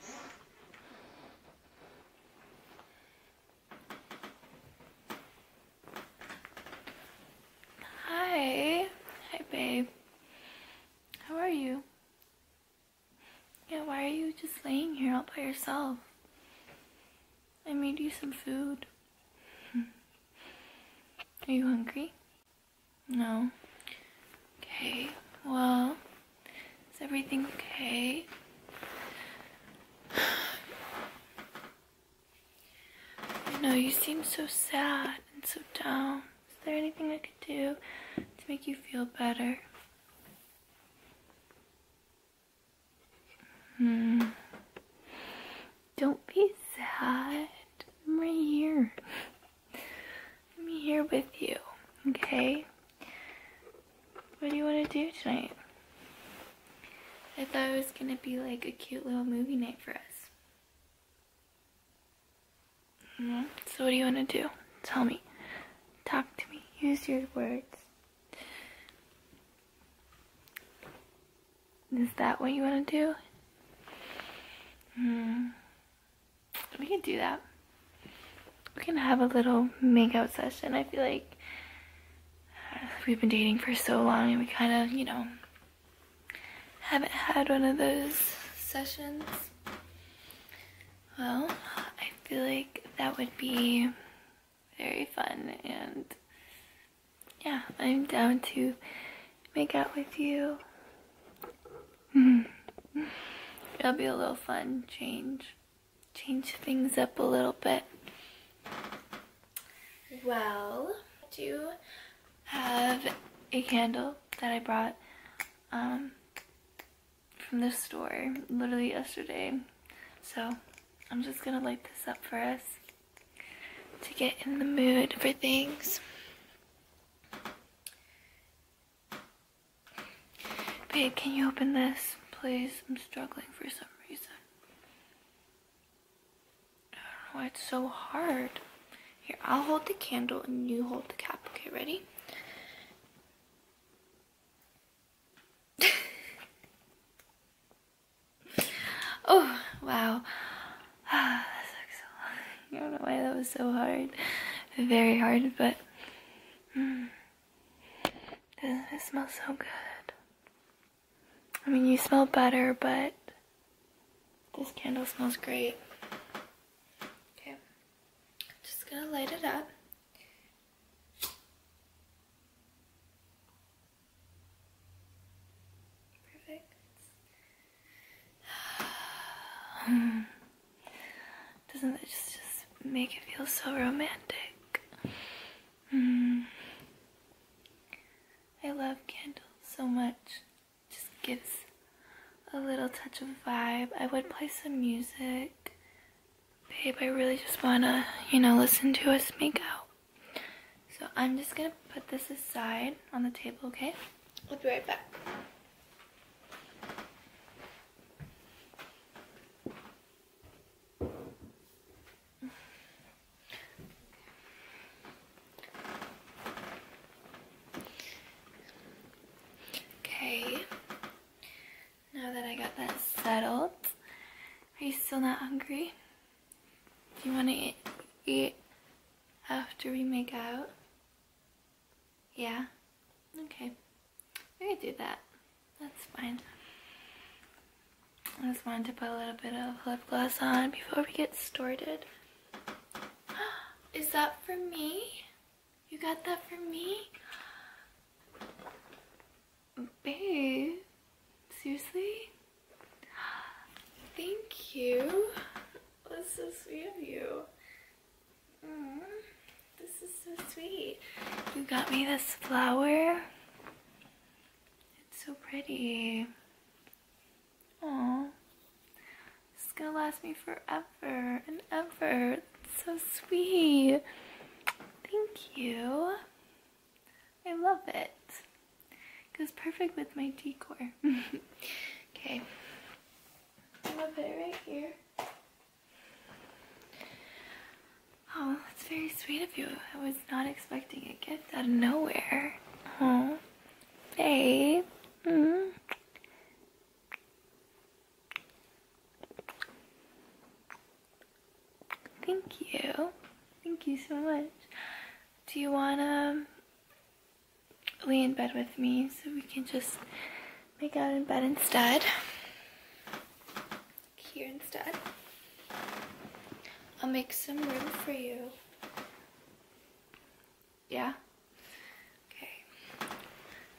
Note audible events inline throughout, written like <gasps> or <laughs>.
Hi. Hi, babe. How are you? Yeah, why are you just laying here all by yourself? I made you some food. <laughs> Are you hungry? No. Okay, well, is everything okay? <sighs> I know you seem so sad and so down. Is there anything I could do to make you feel better? Hmm. Don't be sad. I'm right here. I'm here with you, okay? What do you want to do tonight? I thought it was going to be like a cute little movie night for us. Mm-hmm. So what do you want to do? Tell me. Talk to me. Use your words. Is that what you want to do? hmm we can do that. We can have a little makeout session. I feel like we've been dating for so long and we kind of, you know, haven't had one of those sessions. Well, I feel like that would be very fun and yeah, I'm down to make out with you. <laughs> It'll be a little fun change change things up a little bit. Well, I do have a candle that I brought um, from the store literally yesterday. So I'm just gonna light this up for us to get in the mood for things. Babe, can you open this, please? I'm struggling for some reason. I don't know why it's so hard. Here, I'll hold the candle and you hold the cap. Okay, ready? <laughs> oh, wow. Ah, that sucks so <laughs> I don't know why that was so hard. Very hard, but... Hmm it smells so good? I mean, you smell better, but this candle smells great. Okay, just gonna light it up. Perfect. <sighs> Hmm. Doesn't it just, make it feel so romantic? Mm. I love candles so much. Just gives a little touch of vibe. I would play some music. Babe, I really just wanna, you know, listen to us make out. So I'm just gonna put this aside on the table, okay? we will be right back. Okay, now that I got that settled, are you still not hungry? Do you want to eat, eat after we make out? Yeah? Okay. We could do that. That's fine. I just wanted to put a little bit of lip gloss on before we get started. <gasps> Is that for me? You got that for me? Babe, seriously? <gasps> Thank you. That's so sweet of you this is so sweet. You got me this flower. It's so pretty. Aww. This is gonna last me forever and ever. It's so sweet. Thank you. I love it. it goes perfect with my decor. <laughs> okay. I'm gonna put it right here. Oh, that's very sweet of you. I was not expecting a gift out of nowhere. Oh, babe. Mm. Thank you. Thank you so much. Do you want to lay in bed with me so we can just make out in bed instead. Here instead. I'll make some room for you. Yeah? Okay.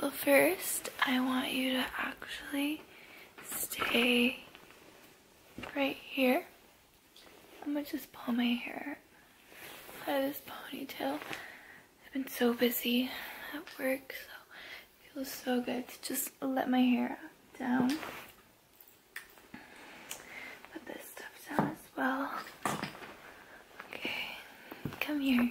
Well, first, I want you to actually stay right here. I'm gonna just pull my hair out of this ponytail. I've been so busy at work, so Feels so good to just let my hair down. Put this stuff down as well. Okay, come here.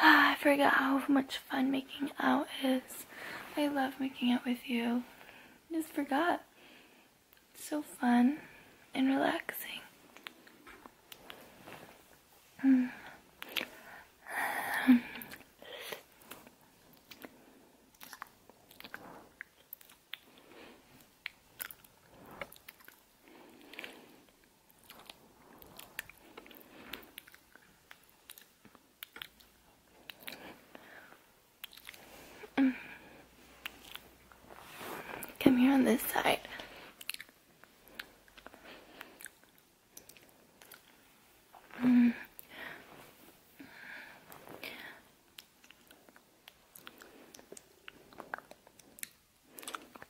I forgot how much fun making out is. I love making out with you. I just forgot. It's so fun and relaxing. Come here on this side.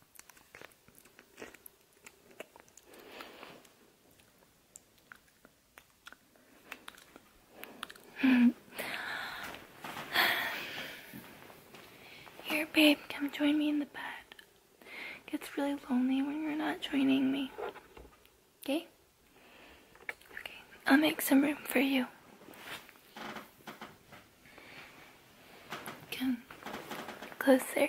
<sighs> Here, babe, come join me in the bed. It gets really lonely when you're not joining me. Okay? Okay, I'll make some room for you. Come closer.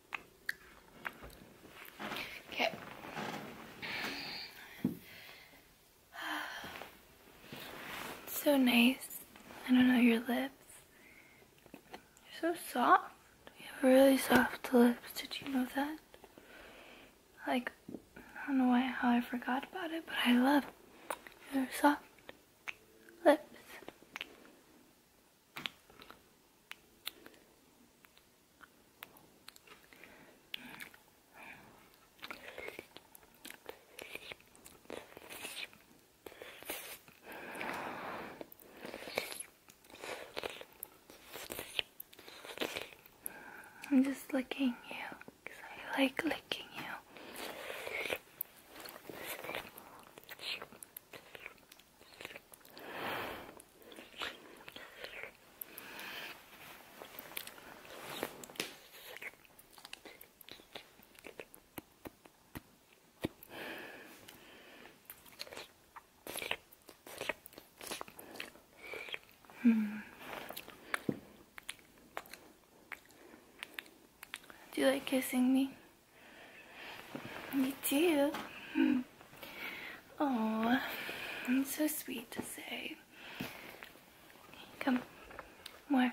Okay. It's so nice. I don't know your lips. You're so soft. You have really soft lips. Did you know that? Like, I don't know why how I forgot about it, but I love your soft lips. I'm just licking you because I like licking you. Hmm. Do you like kissing me? Me too. Oh, it's so sweet to say. Come, more.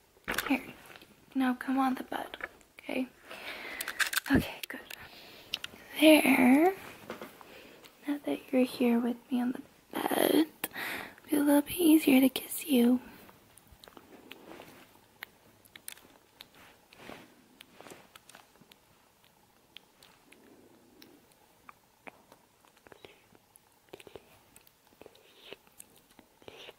Here, now come on the bed, okay? Okay, good. There. Now that you're here with me on the bed, it'll be a little bit easier to kiss you.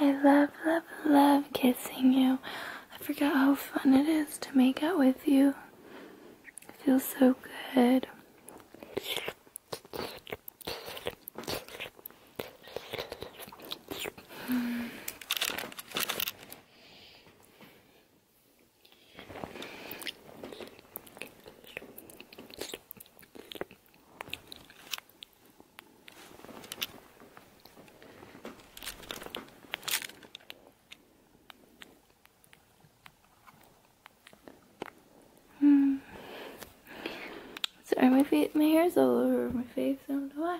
I love, love, love kissing you. I forgot how fun it is to make out with you. It feels so good. Hmm. Sorry, my, feet, my hair's all over my face, I don't know why.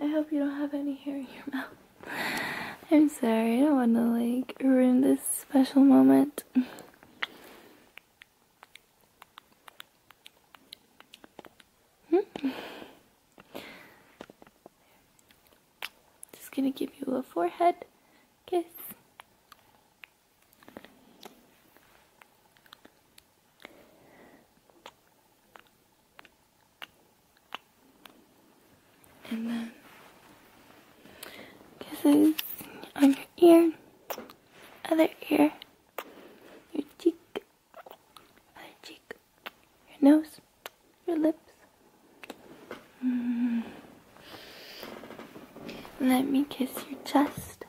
I hope you don't have any hair in your mouth. I'm sorry, I don't want to like ruin this special moment. Just gonna give you a forehead kiss. And then kisses on your ear, other ear, your cheek, other cheek, your nose, your lips. Mm. Let me kiss your chest,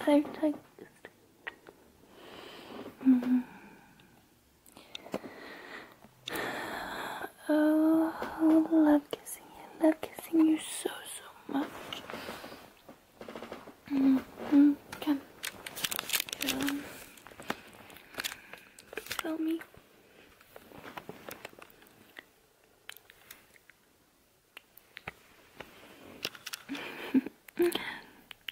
I mm-hmm. oh, love kissing you. Love kissing you so, so much. Mm-hmm. Come. Come. Um, me. <laughs>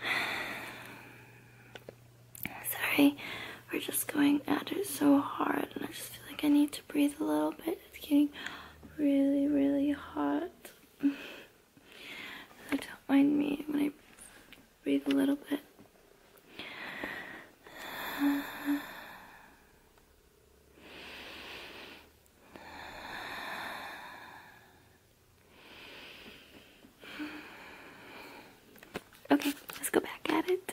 <sighs> Sorry, we're just going at it so hard, and I just feel like I need to breathe a little bit. It's getting really, really hot. so <sighs> don't mind me when I breathe a little bit. <sighs> Okay, let's go back at it.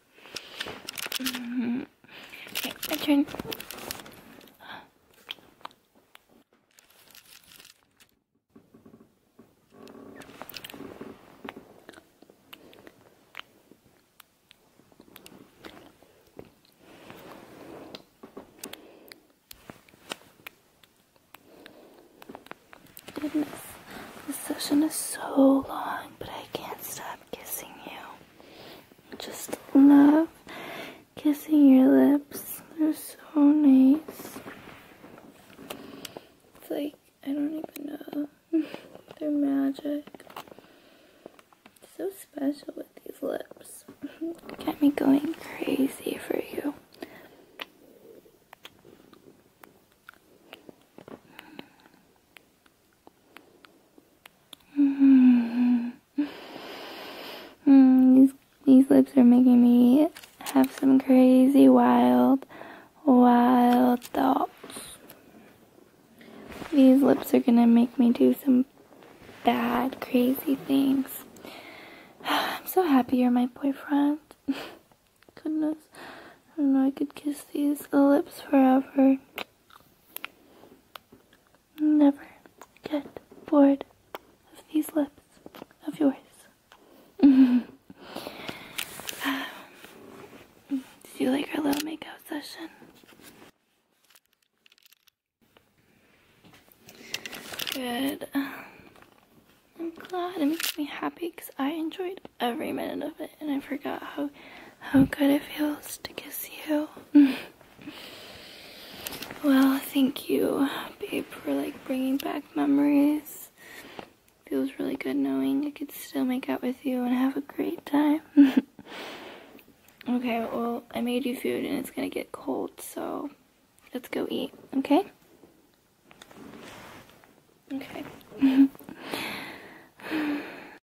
Okay, my turn. Goodness, this session is so long, but I can't stop kissing you just love kissing your lips. They're so nice. It's like, I don't even know. <laughs> They're magic. So special with these lips. <laughs> Get me going crazy for you. <laughs> Mm, these, these lips are making me have some crazy, wild, wild thoughts. These lips are gonna make me do some bad, crazy things. <sighs> I'm so happy you're my boyfriend. <laughs> Goodness. I don't know, I could kiss these lips forever. Never get bored of these lips of yours. <laughs> um, did you like our little makeup session? Good. Um, I'm glad it makes me happy because I enjoyed every minute of it and I forgot how how good it feels to kiss you. <laughs> well, thank you, babe, for like bringing back memories. Feels really good knowing I could still make out with you and have a great time. <laughs> okay, well, I made you food and it's gonna get cold, so let's go eat, okay? Okay. <laughs>